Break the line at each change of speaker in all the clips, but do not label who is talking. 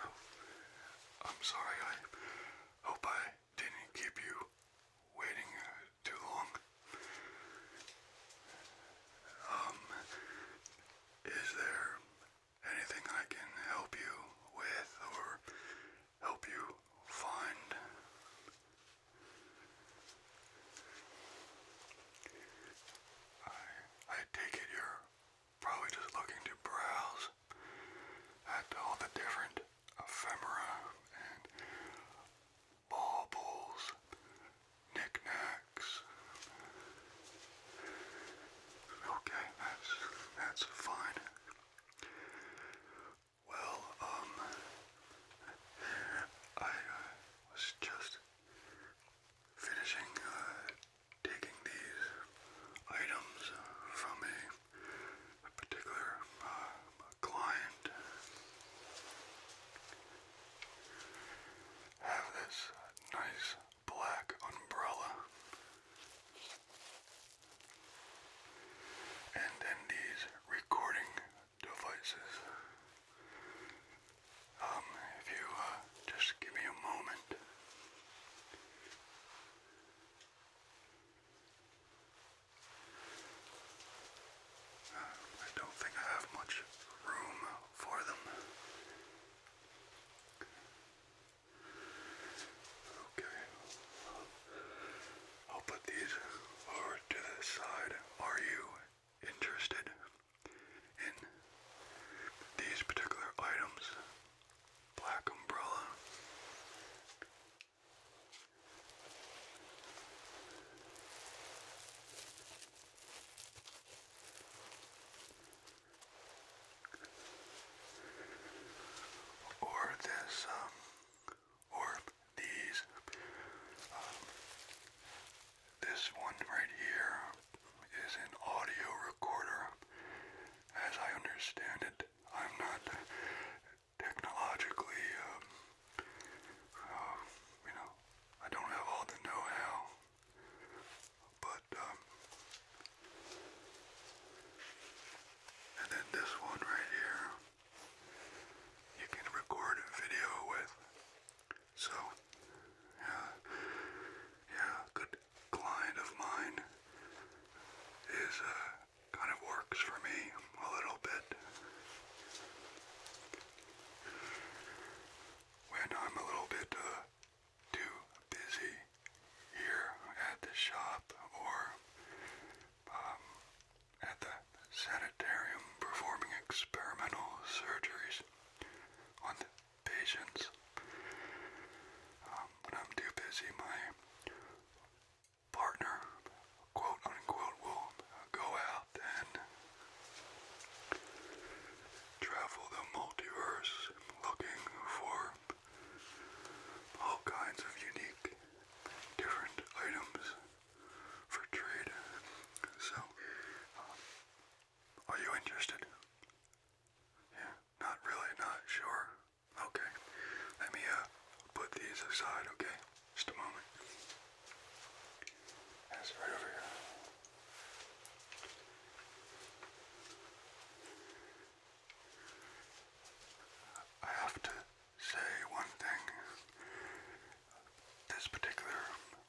Oh, I'm sorry, I hope I didn't keep you waiting uh, too long. Um, is there anything I can help you with or help you find? I, take it you're probably just looking to browse at all the different ephemera and baubles, knickknacks. Okay, that's that's fine. Well, um, I uh, was just finishing uh, taking these items from a, particular uh, client. have this nice black umbrella. And then these recording devices. Um, if you uh, just give me a moment. I don't think I have much room for them. Okay. I'll put these over to the side. Are you interested in these particular items? Black umbrella. Or this um, or these. Um, this one right here is an audio recorder. As I understand it, I'm not technologically, um, uh, you know, I don't have all the know-how, but, um, and then this one right here you can record a video with. So, yeah, yeah, good client of mine is uh, kind of works for me a little bit. When I'm a little bit uh, too busy here at the shop or um, at the sanitarium performing experimental surgeries on the patients. Um, when I'm too busy, my partner, quote unquote, will go out and travel the multiverse looking for all kinds of unique, different items for trade. So, um, are you interested? Yeah, not really, not sure. Okay, let me uh, put these aside, okay? Just a moment. That's right over here. I have to say one thing this particular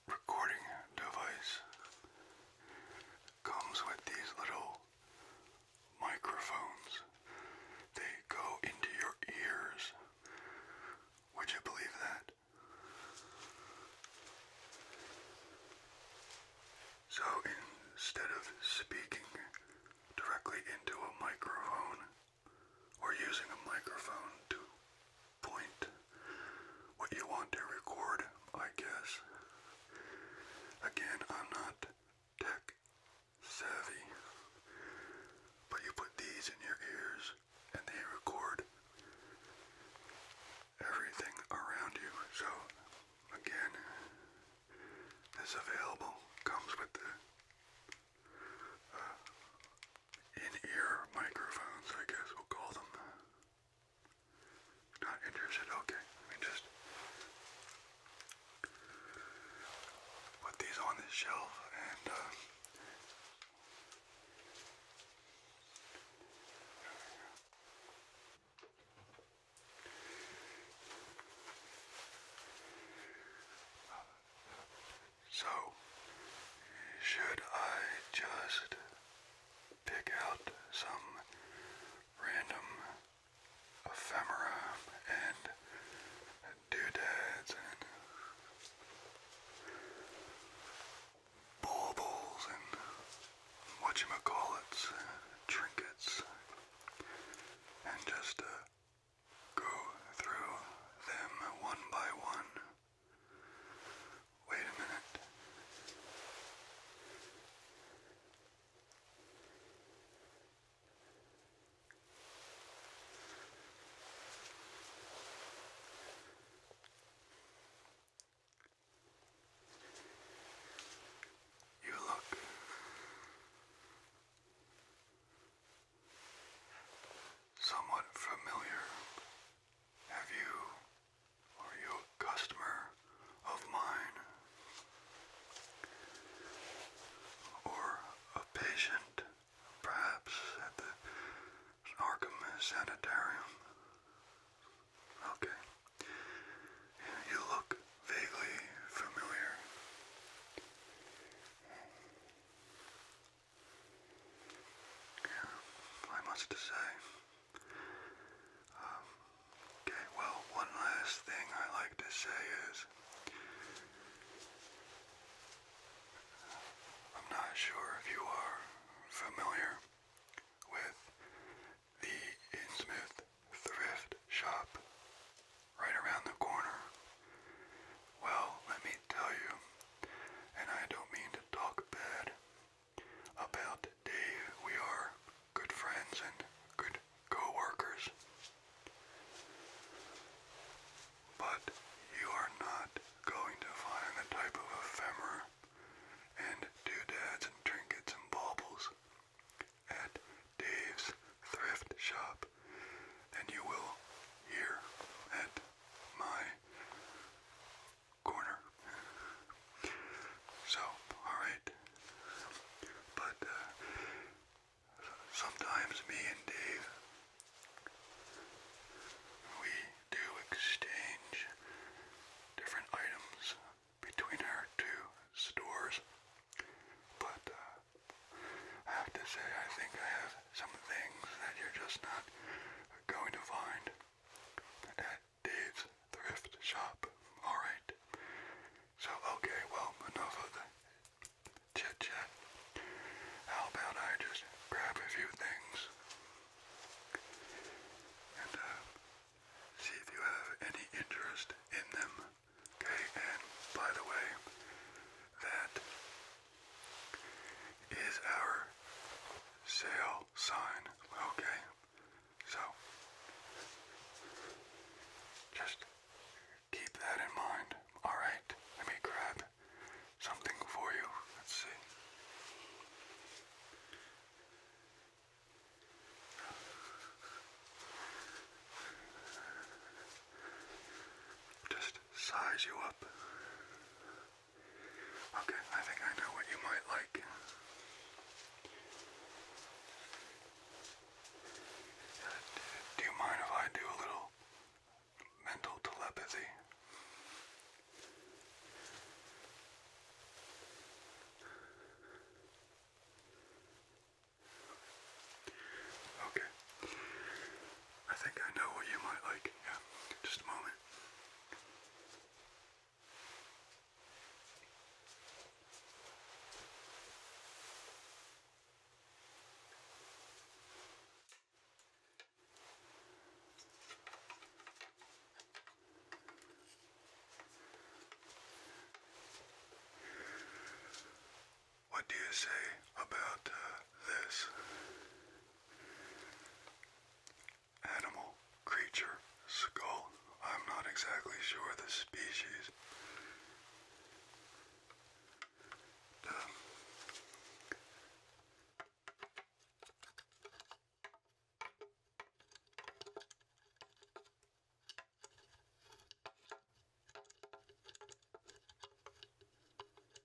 recording device comes with these little microphones. They go into your ears. Would you believe that? So instead of speaking directly into a microphone, or using a microphone to point what you want to record, I guess. Again, I'm not tech savvy, but you put these in your ears and they record everything around you. So, again, this available comes with the uh, in-ear microphones, I guess we'll call them. Not interested, okay. I mean, just put these on the shelf and uh, so, should I just pick out some random ephemera and doodads and baubles and whatchamacallits, trinkets, and just uh, Go through them one by one. Wait a minute. You look somewhat familiar? Have you, are you a customer of mine? Or a patient, perhaps, at the Arkham Sanitarium? Okay. You look vaguely familiar. Not much to say. Um, okay, well, one last thing I like to say is I'm not sure if you are familiar with the Innsmouth thrift shop right around the corner well, let me tell you, and I don't mean to talk bad about Dave. We are good friends and good coworkers, But you are not going to find a type of ephemera and doodads and trinkets and baubles at Dave's thrift shop and you will hear at my corner. So, alright. But uh, sometimes me and Dave, we do exchange different items between our two stores. But uh, I have to say, I think I have some things that you're just not going to find at Dave's thrift shop. Alright. So, okay, well, enough the chit chat. How about I just grab a few things and uh, see if you have any interest in them. Okay, and by the way, that is our sale sign. Okay, so just keep that in mind. Alright, let me grab something for you. Let's see. Just size you up. Okay, I think I know what you might like. Do you mind if I do a little mental telepathy? Okay. I think I know what you might like. Yeah, just a moment. What do you say about uh, this? Animal, creature, skull. I'm not exactly sure the species. Um,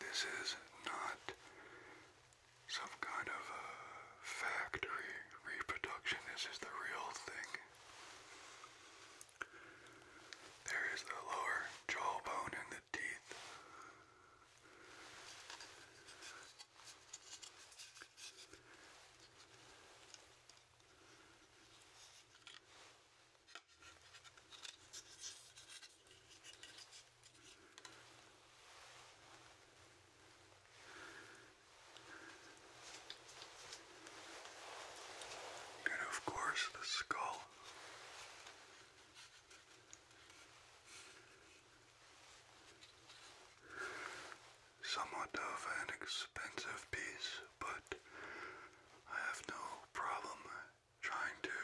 This is not some kind of a uh, factory reproduction. This is the real thing. There is the lower jawbone and the teeth. And of course, the skull. Somewhat of an expensive piece, but I have no problem trying to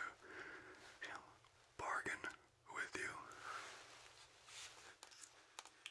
bargain with you.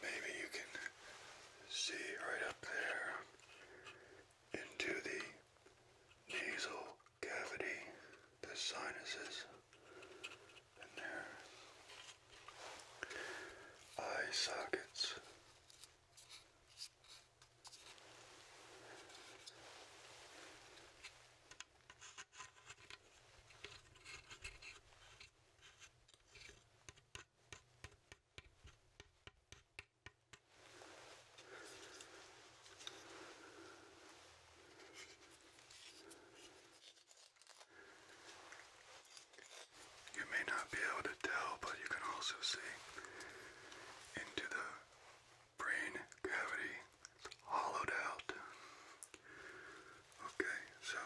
Maybe you can see right up there into the nasal cavity, the sinuses in their eye sockets. You may not be able to tell, but you can also see into the brain cavity. It's hollowed out. Okay, so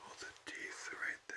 all the teeth are right there.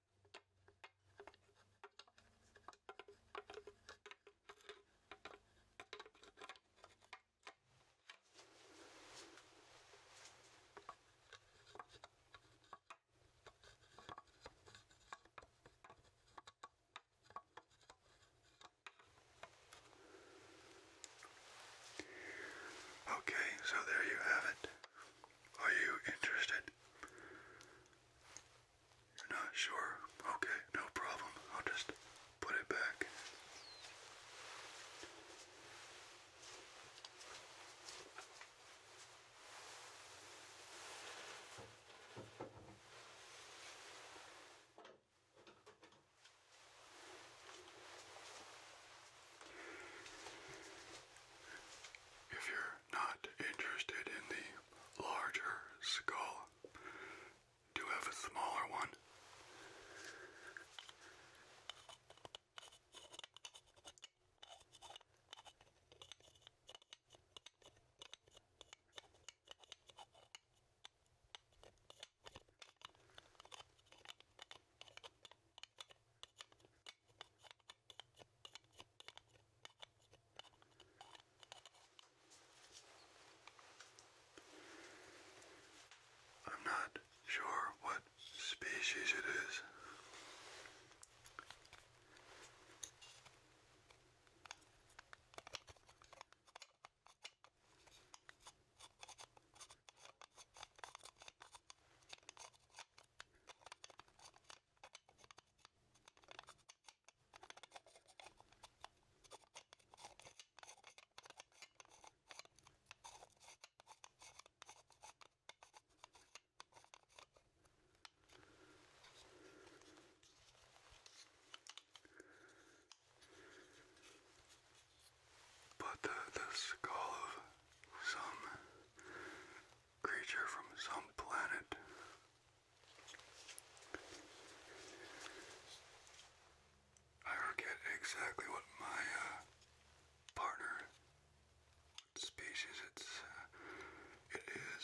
Okay, so there you have it. Are you interested? You're not sure? Okay, no problem. I'll just put it back. If you're not interested in the larger skull, do have a smaller one. I'm not sure what species it is. But the, skull of some creature from some planet. I forget exactly what my uh, partner, species it's, uh, it is.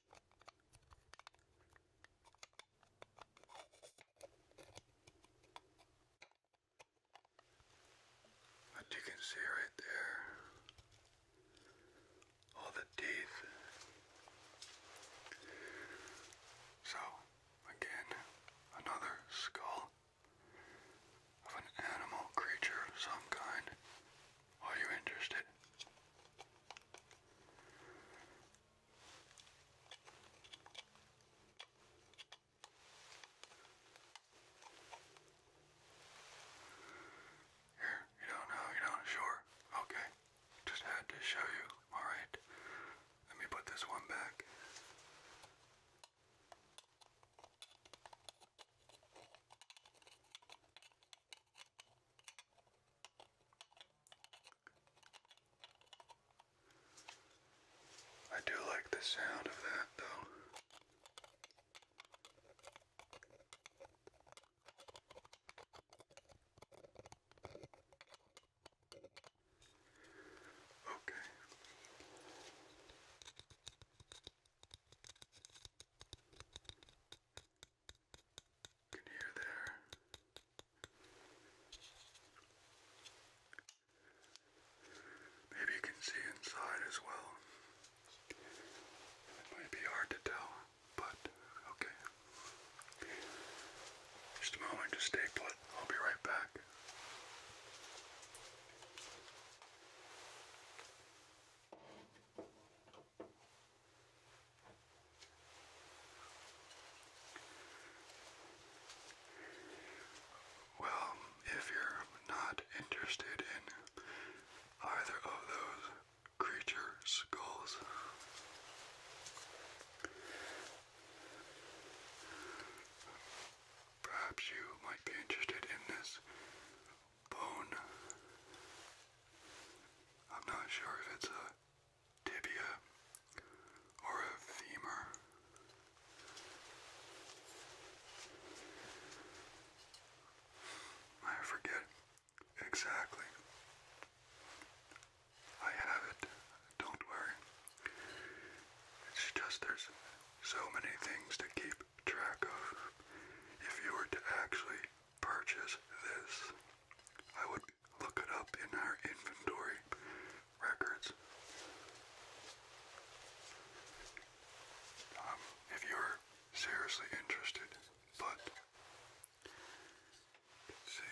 But you can see right there all the teeth. So, again, another skull of an animal creature of some kind. Are you interested? Here, you don't know, you don't sure. Okay. Just had to show you. Alright. Let me put this one back. I do like the sound of that though. Okay can hear there. Maybe can see inside as well. might be hard to tell, but okay. Just a moment, just stay put. I'll be right back. Well, if you're not interested in either of those creature skulls, perhaps you might be interested in this bone. I'm not sure if it's a tibia or a femur. I forget exactly. I have it, don't worry. It's just there's so many things to keep track of. If you were to actually purchase this, I would look it up in our inventory records. Um, if you're seriously interested, but see.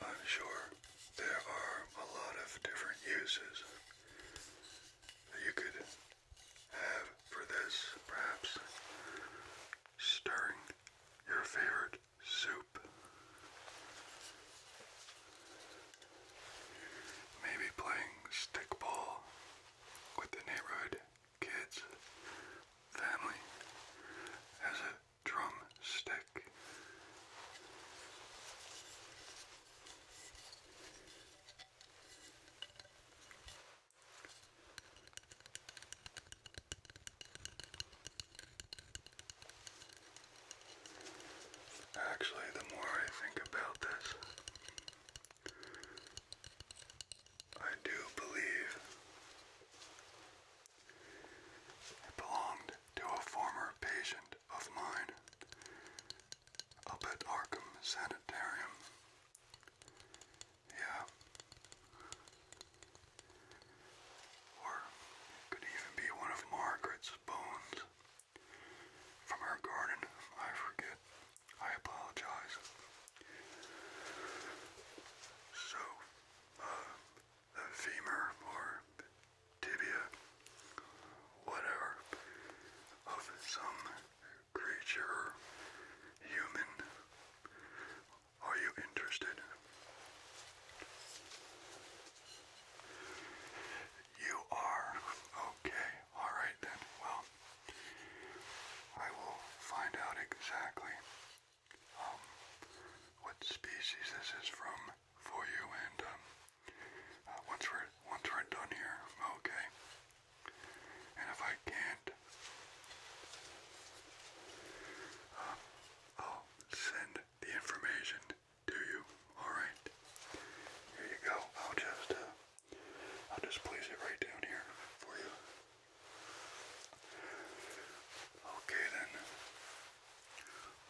I'm sure there are a lot of different uses you could have for this, perhaps stirring your favorite soup. Maybe playing stickball with the neighborhood kids family as a drum Actually, the more I think about this, I do believe it belonged to a former patient of mine up at Arkham Sanitarium. Yeah. Or it could even be one of Margaret's bones from her garden. I forget. I apologize. So, uh, femur or tibia, whatever, of some creature, human. Are you interested? You are. Okay alright then. Well, I will find out exactly um, what species this is from for you, and um, uh, once we're once we're done here, okay. And if I can't, uh, I'll send the information to you. All right. Here you go. I'll just uh, I'll just place it right down here for you. Okay then,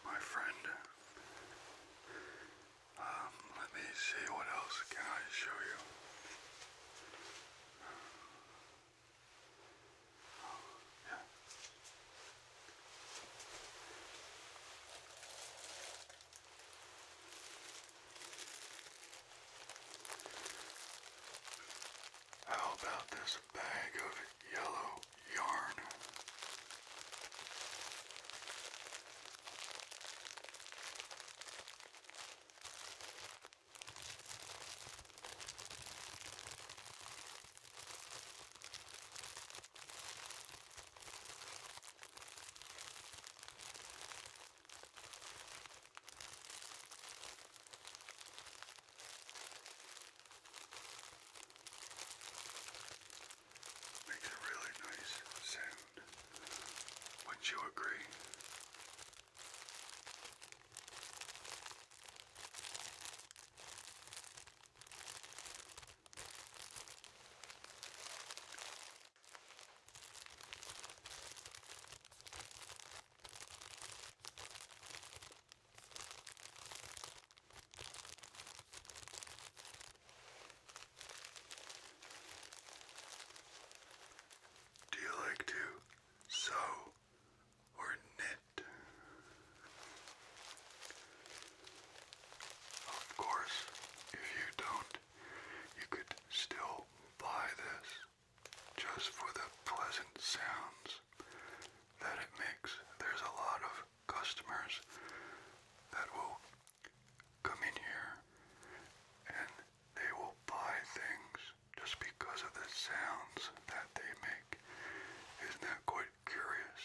my friend. Um, let me see what else can I show you. yeah. How about this bag of yellow yarn? Makes a really nice sound. Wouldn't you agree? Do you like to sew or knit? Of course, if you don't loved, you could still buy this just for the pleasant sounds that it makes. There's a lot of customers that will come in here and they will buy things just because of the sounds that they make. Isn't that quite curious?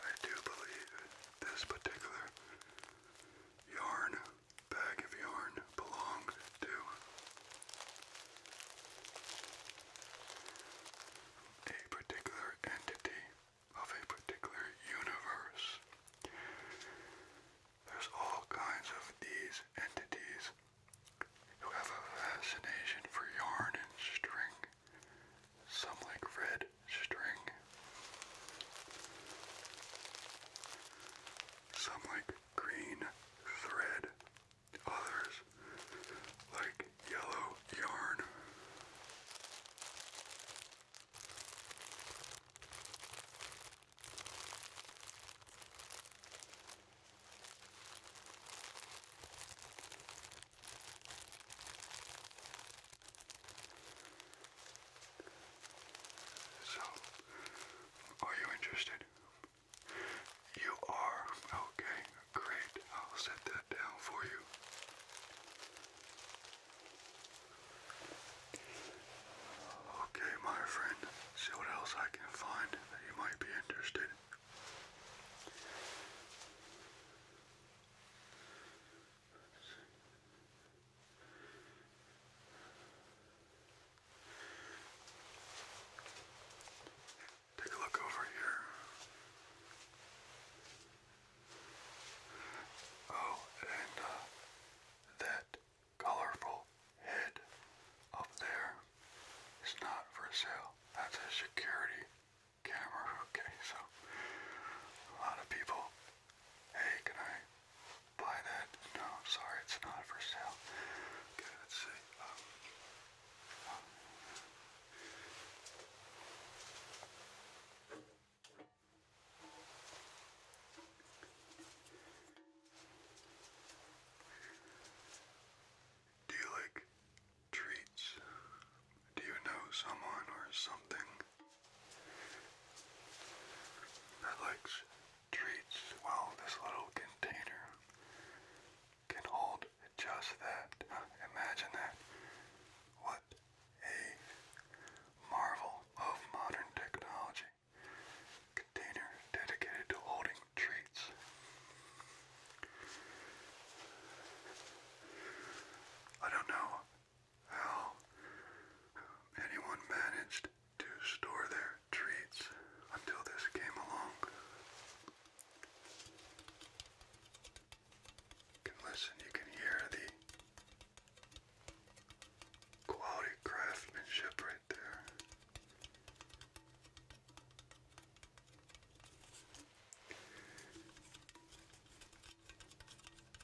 I do believe this particular yarn, bag of yarn, belonged to. A particular entity of a particular universe. There's all kinds of these entities who have a fascination for yarn and string some like red string, some like green thread, others like yellow yarn. So, are you interested? You are. Okay, great. I'll set that down for you. Okay, my friend, see what else I can find that you might be interested. Take a look over here. Oh, and uh, that colorful head up there is not for sale. That's a security camera. Okay, so a lot of people Hey, can I buy that? No, sorry, it's not for sale. Okay, let's see. Um, um, do you like treats? Do you know someone or something that likes treats? Well, this little container can hold just that. Imagine that. What a marvel of modern technology. Container dedicated to holding treats. I don't know how anyone managed to store their treats until this came along. can listen, you can hear the quality craftsmanship right there.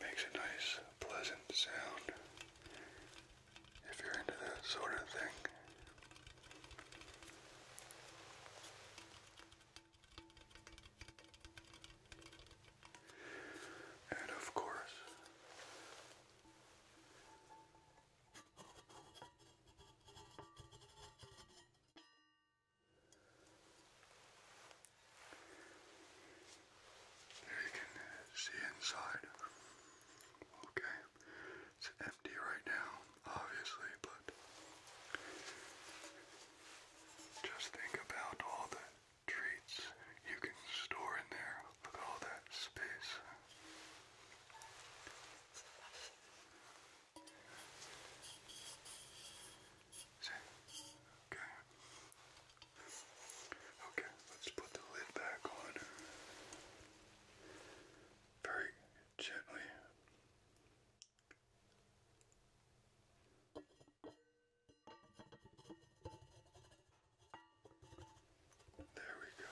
Makes a nice, pleasant sound if you're into that sort of thing. And of course, there you can see inside. Okay, it's empty right now, obviously, but just think about all the treats you can store in there. Look at all that space. Okay. Okay, let's put the lid back on. Very gently. There we go.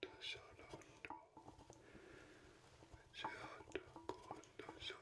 Condition undo. Condition undo.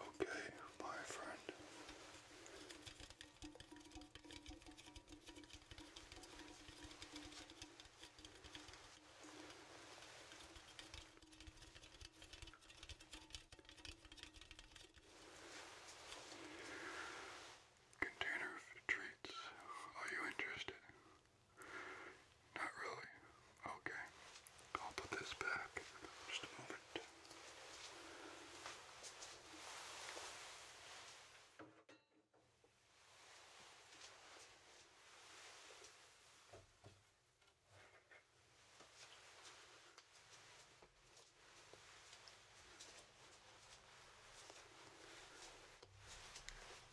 Okay, my friend. Container of treats. Are you interested? Not really. Okay. I'll put this back. Just a moment.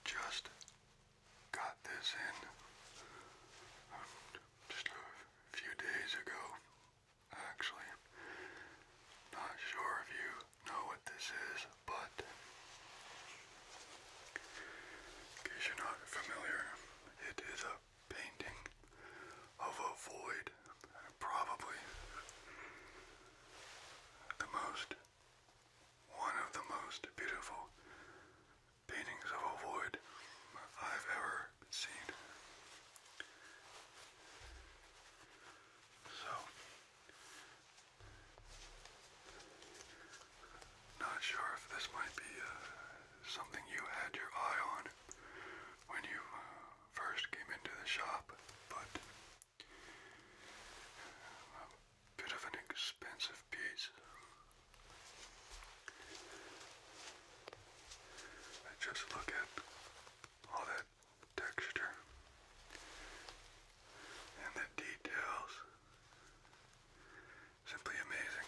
Just got this in um, just a few days ago, actually. Not sure if you know what this is, but in case you're not familiar, it is a painting of a void, probably the most, one of the most beautiful paintings of a void I've ever seen. So, not sure if this might be uh, something you had your eye on when you uh, first came into the shop, but a bit of an expensive piece. I just look at all that texture and the details. Simply amazing.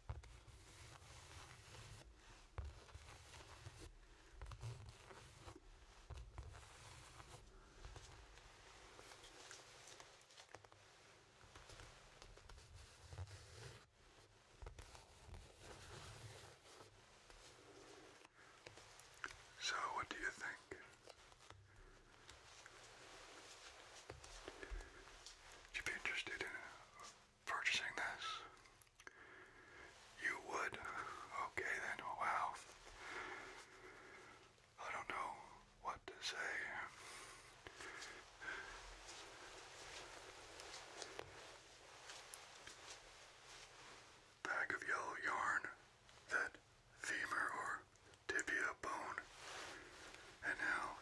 So, what do you think? Would you be interested in a purchasing this? You would? Okay then, oh, wow. I don't know what to say. Bag of yellow yarn, that femur or tibia bone, and now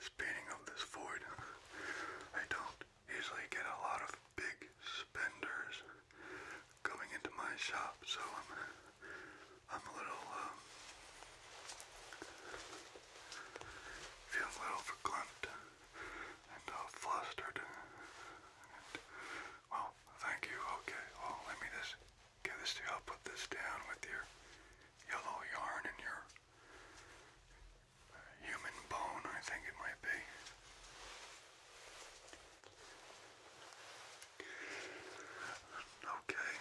spinning of this void. I don't usually get a lot of big spenders coming into my shop, so I'm I'm a little um, a little and uh, flustered. well, thank you. Okay, well, let me just get this to you. I'll put this down with your yellow yarn and your human bone, I think it might be. Okay.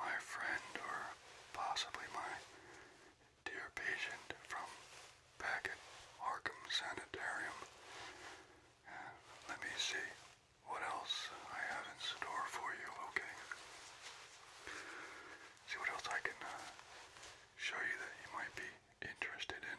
My friend, or possibly my dear patient from back Arkham Sanitarium. Uh, let me see what else I have in store for you, okay? See what else I can uh, show you that you might be interested in.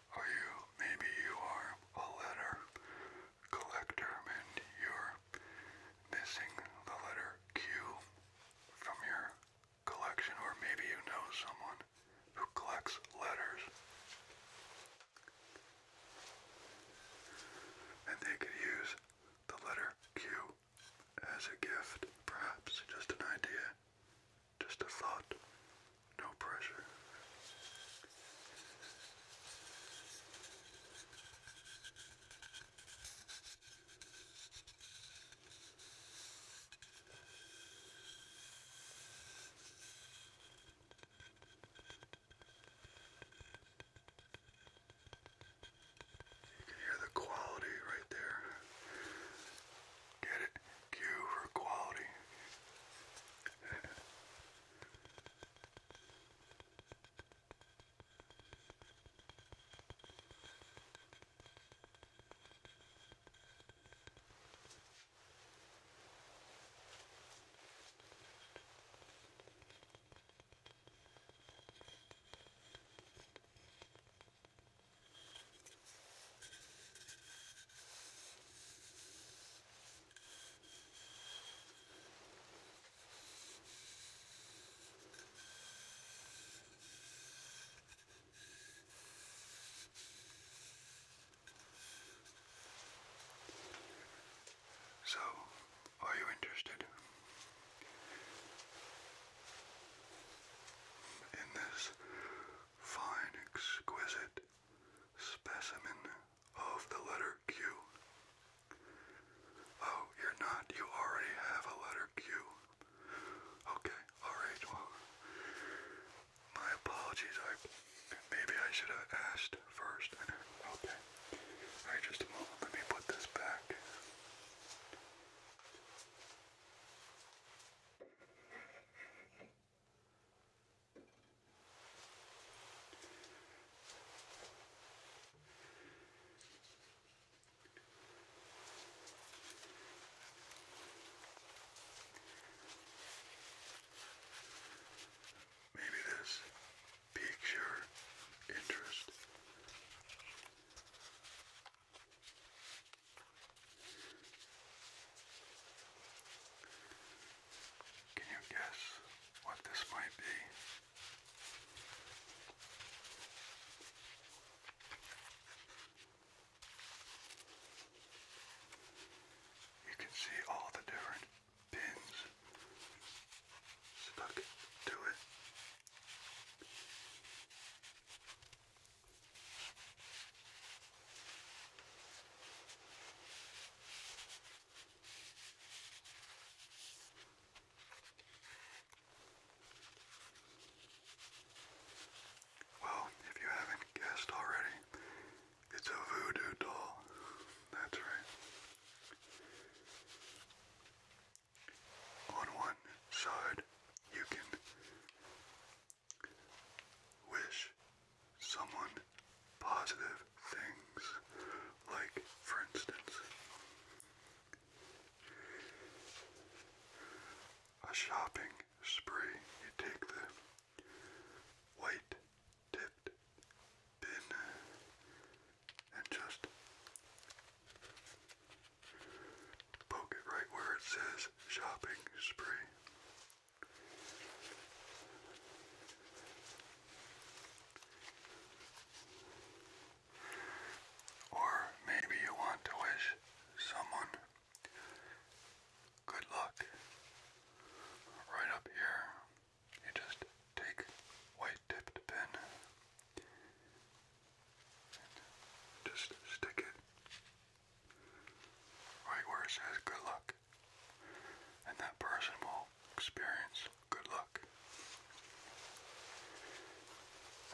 Or you, maybe you are a letter collector and you're missing the letter Q from your collection, or maybe you know someone who collects letters. And they could use the letter Q as a gift, perhaps just an idea. Just a thought, no pressure. You can hear the quality right there. Get it? Q for quality. So, are you interested in this fine, exquisite specimen of the letter Q. Oh, you're not. You already have a letter Q. Okay, alright, well, my apologies. I Maybe I should have asked first. Okay. Alright, just a moment. Let me put this back. Maybe this piques your interest. Can you guess what this might be? You can see all the different pins stuck to it. Well, if you haven't guessed already, it's a voodoo doll. That's right. On one side, you can wish someone positive things, like, for instance, a shopping spree. You take the white tipped bin and just poke it right where it says shopping spree. Or maybe you want to wish someone good luck. Right up here, you just take white tipped pen just stick it right where it says good luck. And that person will experience good luck.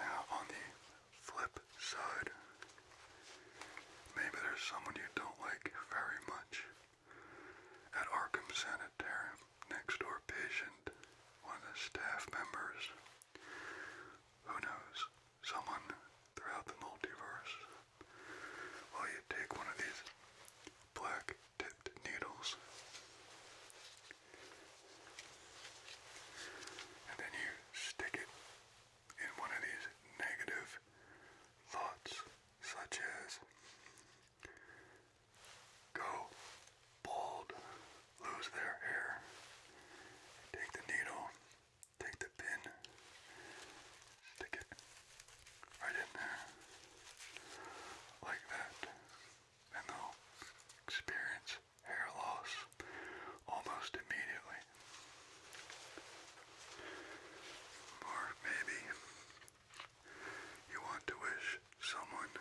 Now, on the flip side, maybe there's someone you don't like very much. At Arkham Sanitarium, next door patient, one of the staff members, who knows, someone throughout the multiverse well, you take one of these black tipped needles, and then you stick it in one of these negative thoughts, such as go bald, lose their hair. Take the needle Take the pin, stick it right in there, like that, and they experience hair loss almost immediately. Or maybe you want to wish someone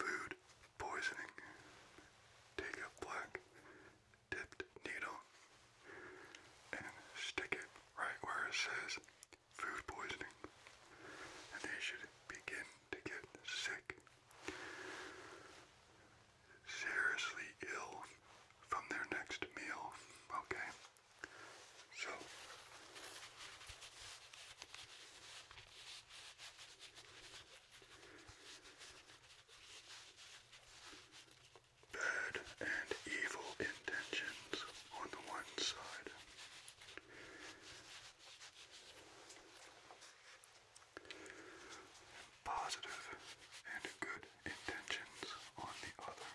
food poisoning. Take a black tipped needle and stick it right where it says food poisoning. And they should begin to get sick, seriously ill from their next meal, okay? So, bad and evil intentions on the one side. Positive and good intentions on the other.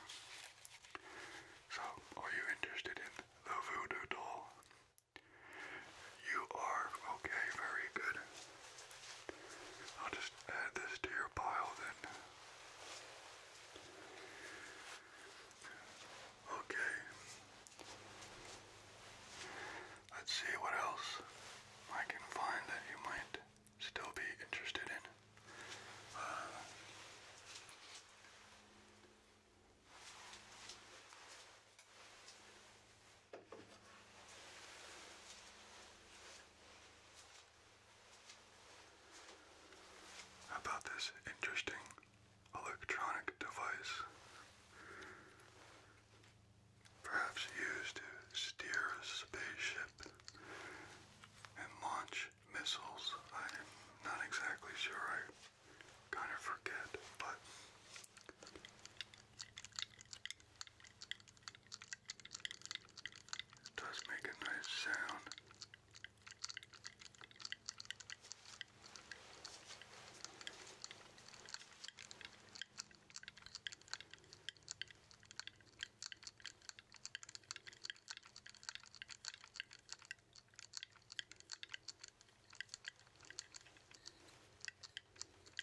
So, are you interested in the voodoo doll? You are okay, very good. I'll just add this to your pile then. Okay. Let's see what else I can find that you might still be interested in about this interesting electronic device, perhaps used to steer a spaceship and launch missiles. I'm not exactly sure. I kind of forget, but does make a nice sound.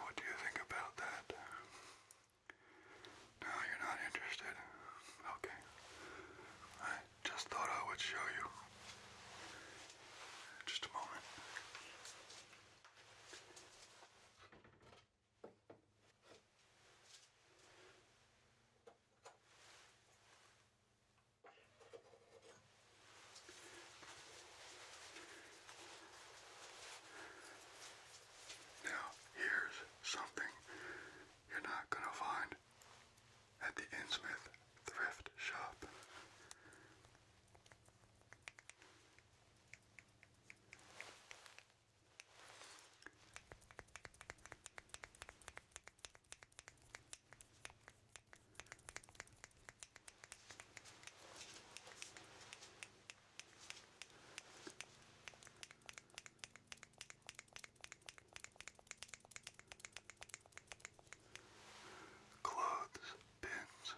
What do you think about that? No, you're not interested. Okay. I just thought I would show you. Just a moment. Now, here's something you're not going to find at the Innsmouth thrift shop. Clothes pins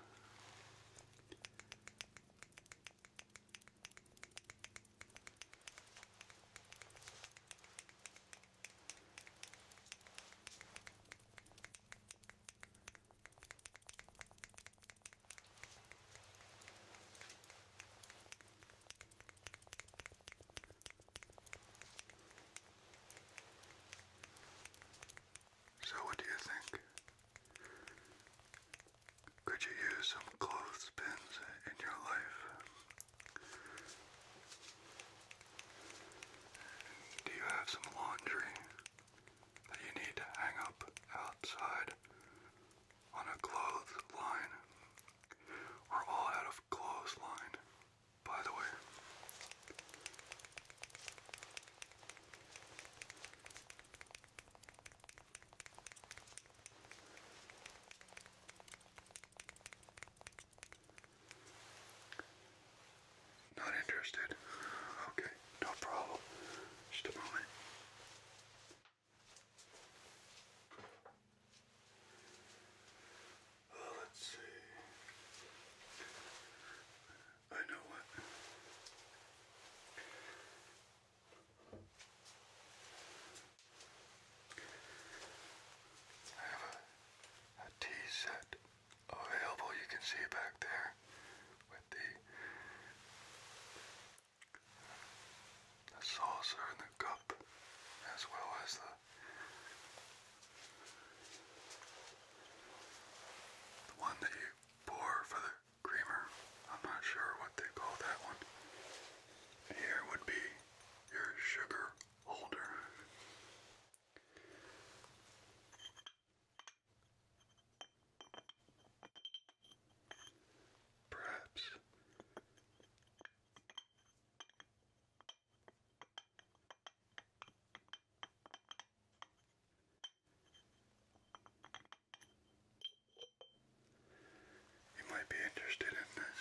so, what do you think? Could you use some clothespins in your life? Do you have some laundry that you need to hang up outside on a clothesline? we all out of clothesline, by the way. Not interested. Okay, no problem. Just a moment. let's see. I know what. I have a, a tea set available, you can see back there with the, the saucer and the cup, as well as the the one that you pour for the creamer. I'm not sure what they call that one. Here would be your sugar holder. Perhaps you might be interested in this.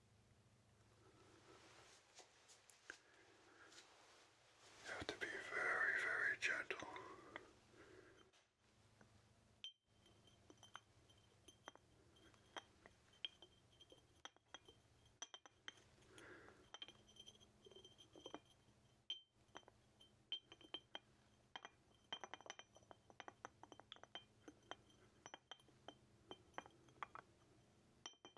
You have to be very, very gentle.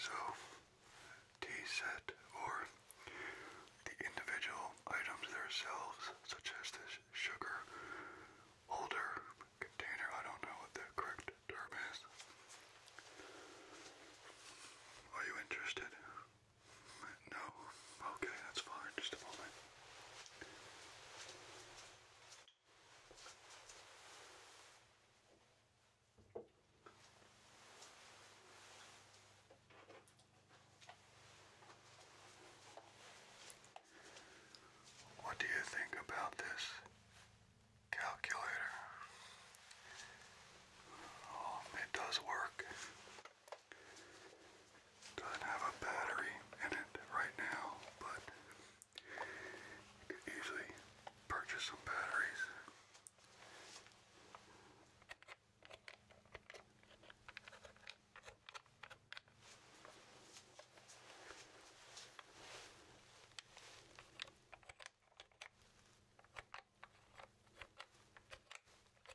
So, tea set or the individual items themselves, such as this sugar holder container, I don't know what the correct term is. Are you interested? No. Okay, that's fine. Just a moment. What do you think about this calculator? Oh, it does work. Doesn't have a battery in it right now, but you could easily purchase some batteries.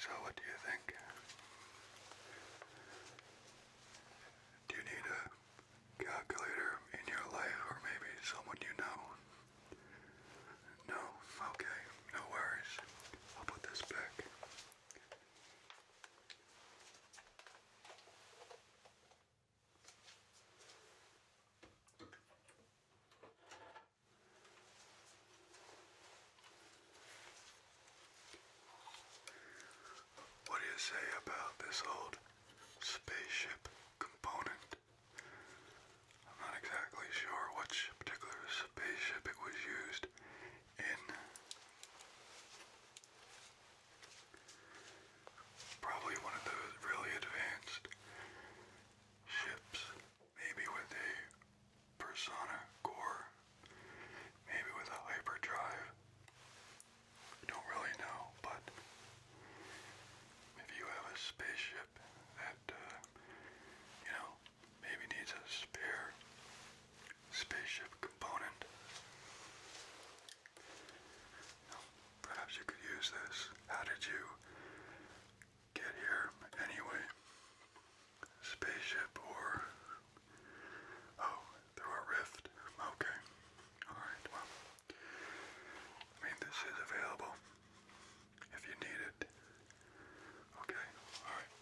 So what do you think? Do you need a calculator in your life or maybe someone you know? No? Okay, no worries. I'll put this back. What do you say about this old spaceship component. I'm not exactly sure which particular spaceship it was used in. Probably one of those really advanced ships, maybe with a persona core, maybe with a hyperdrive. I don't really know, but if you have a spaceship that, uh, you know, maybe needs a spare spaceship component, perhaps you could use this. How did you get here anyway? Spaceship or. Oh, through a rift. Okay. Alright, well. I mean this is available if you need it. Okay, alright.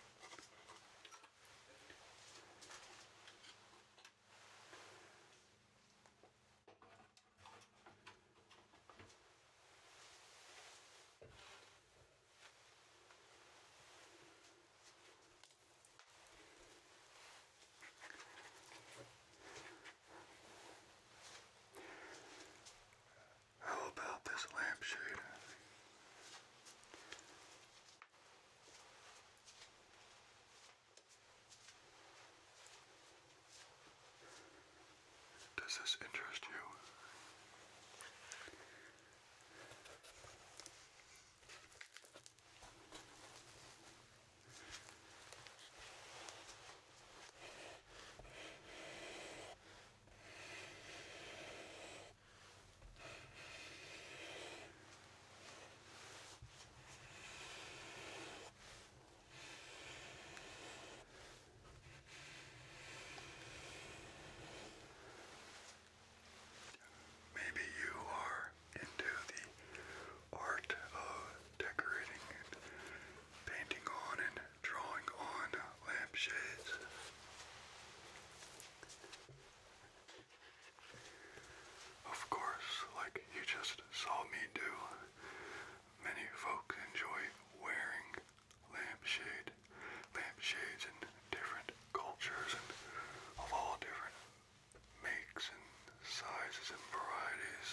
How about this lampshade? Does this interest you? Maybe you are into the art of decorating and painting on and drawing on lampshades. Of course, like you just saw me do, many folks enjoy wearing lampshade, lampshades in different cultures and of all different makes and sizes and varieties.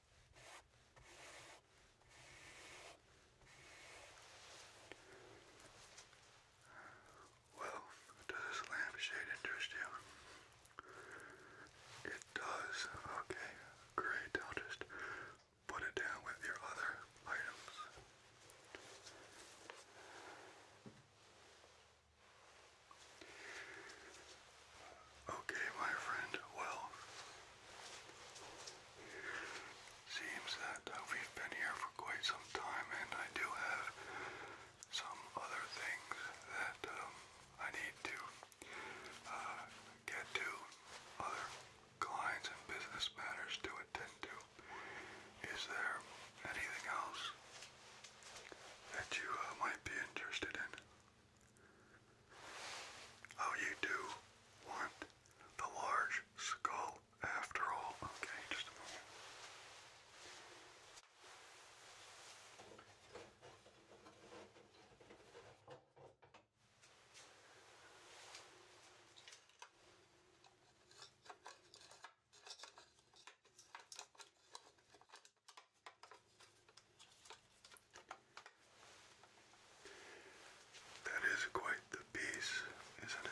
Well, does this lampshade interest you? It does. Okay, great. I'll just put it down with your other items. Okay, my friend, well, seems that uh, we've been here for quite some time, and I do have some other things that um, I need to uh, get to, other clients and business matters to attend to. Is there anything else that you uh, might be interested in? Oh, you do want the large skull after all. Okay, just a moment. That is quite the piece, isn't it?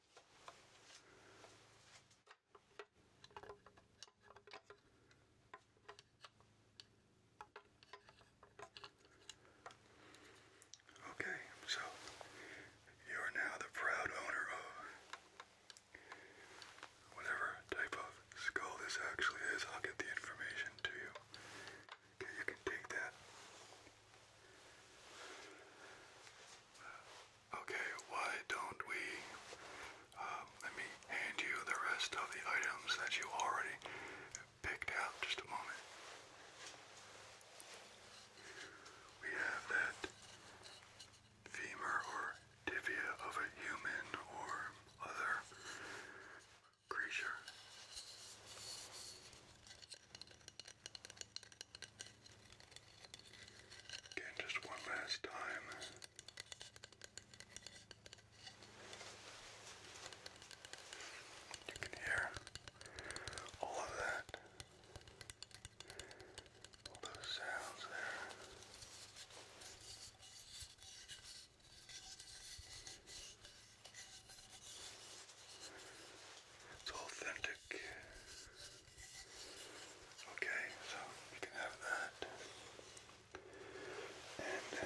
Okay, so you are now the proud owner of whatever type of skull this actually is. I'll get the information to you. Okay, you can take that. Okay, why don't we? Um, let me hand you the rest of the items that you already picked out. Just a moment. We have that femur or tibia of a human or other creature. Again, just one last time. You can hear all of that, all those sounds there. It's authentic. Okay, so you can have that. And uh,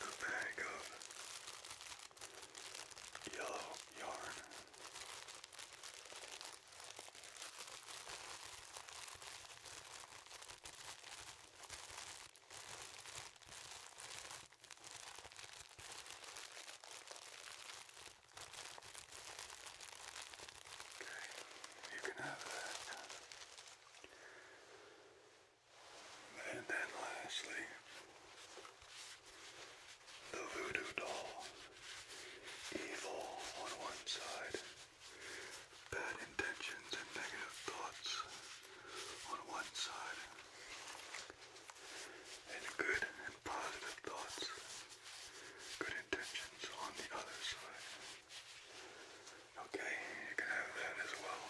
a bag of yellow yarn. Okay, you can have that. And then lastly, the voodoo doll. Evil on one side, bad intentions and negative thoughts on one side and good and positive thoughts, good intentions on the other side. Okay, you can have that as well.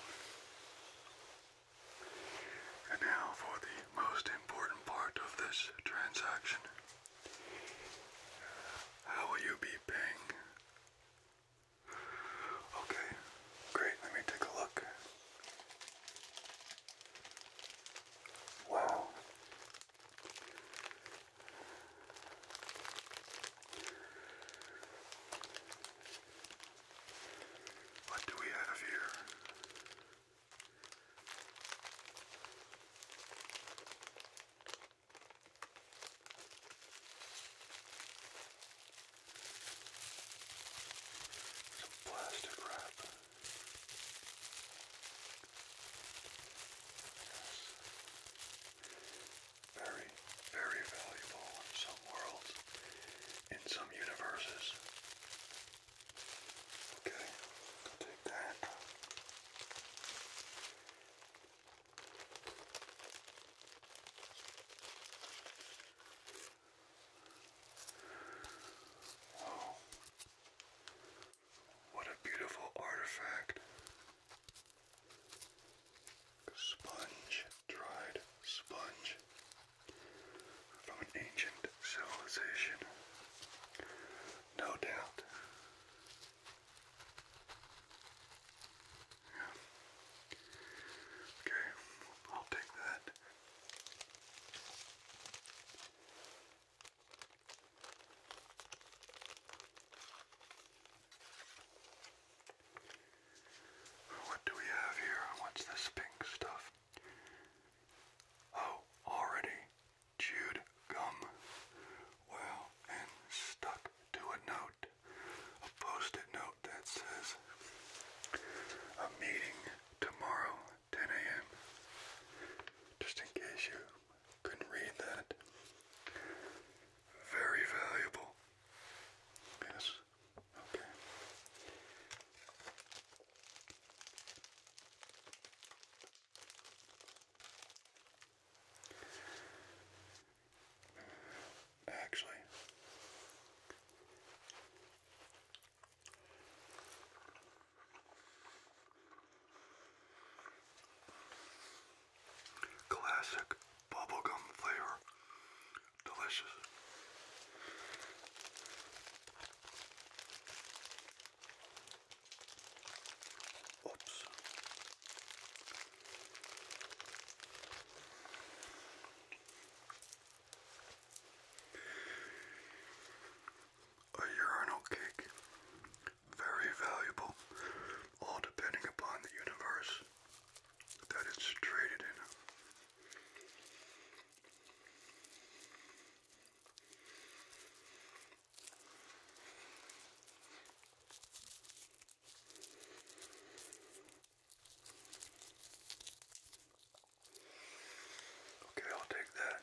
And now for the most important part of this transaction. How will you be paying? Okay, great. Let me take a look. Wow. What do we have here? Some plastic wrap. Very, very valuable in some worlds, in some universes. Okay, I'll take that what a beautiful artifact. Sponge, dried sponge from an ancient civilization. No doubt. Okay, I'll take that. What do we have here? What's this pink stuff? Oh, already chewed gum. Wow, and stuck to a note, a post-it note that says, a meeting tomorrow 10 a.m. Just in case you couldn't read that. Very valuable. Yes. Okay. Actually, Classic bubblegum flavor. Delicious. Oops. A urinal cake, very valuable, all depending upon the universe that it's traded in. Okay, I'll take that.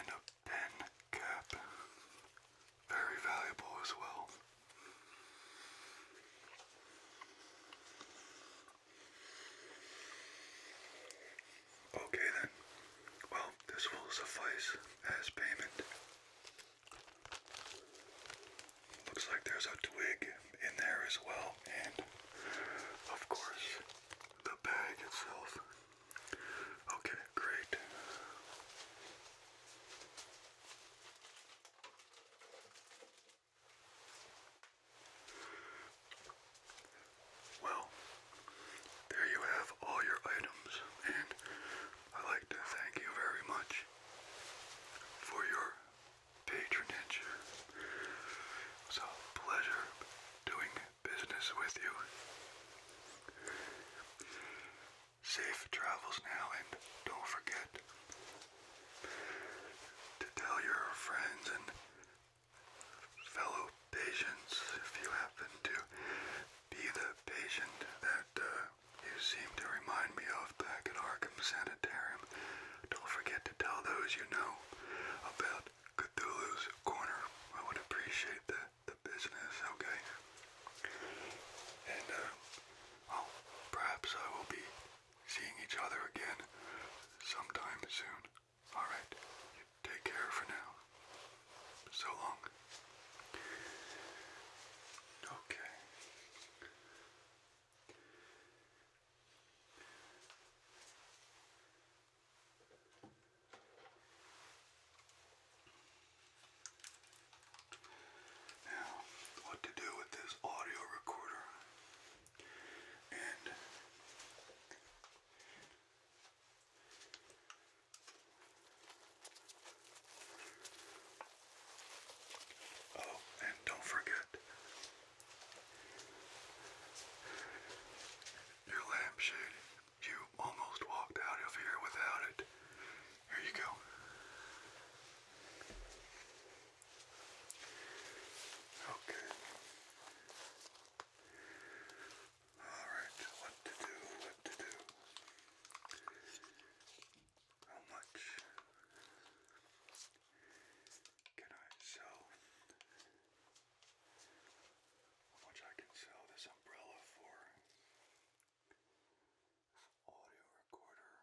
And a pen cap, very valuable as well. Okay then. Well, this will suffice as payment. Looks like there's a twig in there as well, and of course, the bag itself. Okay, great. Well, there you have all your items, and i like to thank you very much for your patronage. It was a pleasure doing business with you. Safe travels now, and don't forget to tell your friends and fellow patients if you happen to be the patient that uh, you seem to remind me of back at Arkham Sanitarium. Don't forget to tell those you know about Cthulhu's Corner. I would appreciate the, the business, okay? And uh, perhaps I will be seeing each other again sometime soon. Alright, take care for now. So long. Okay. Now, what to do with this audio recorder? and oh, and don't forget your lampshade. You almost walked out of here without it. Here you go. Okay. Alright, what to do, what to do. How much can I sell? How much I can sell this umbrella for? Audio recorder.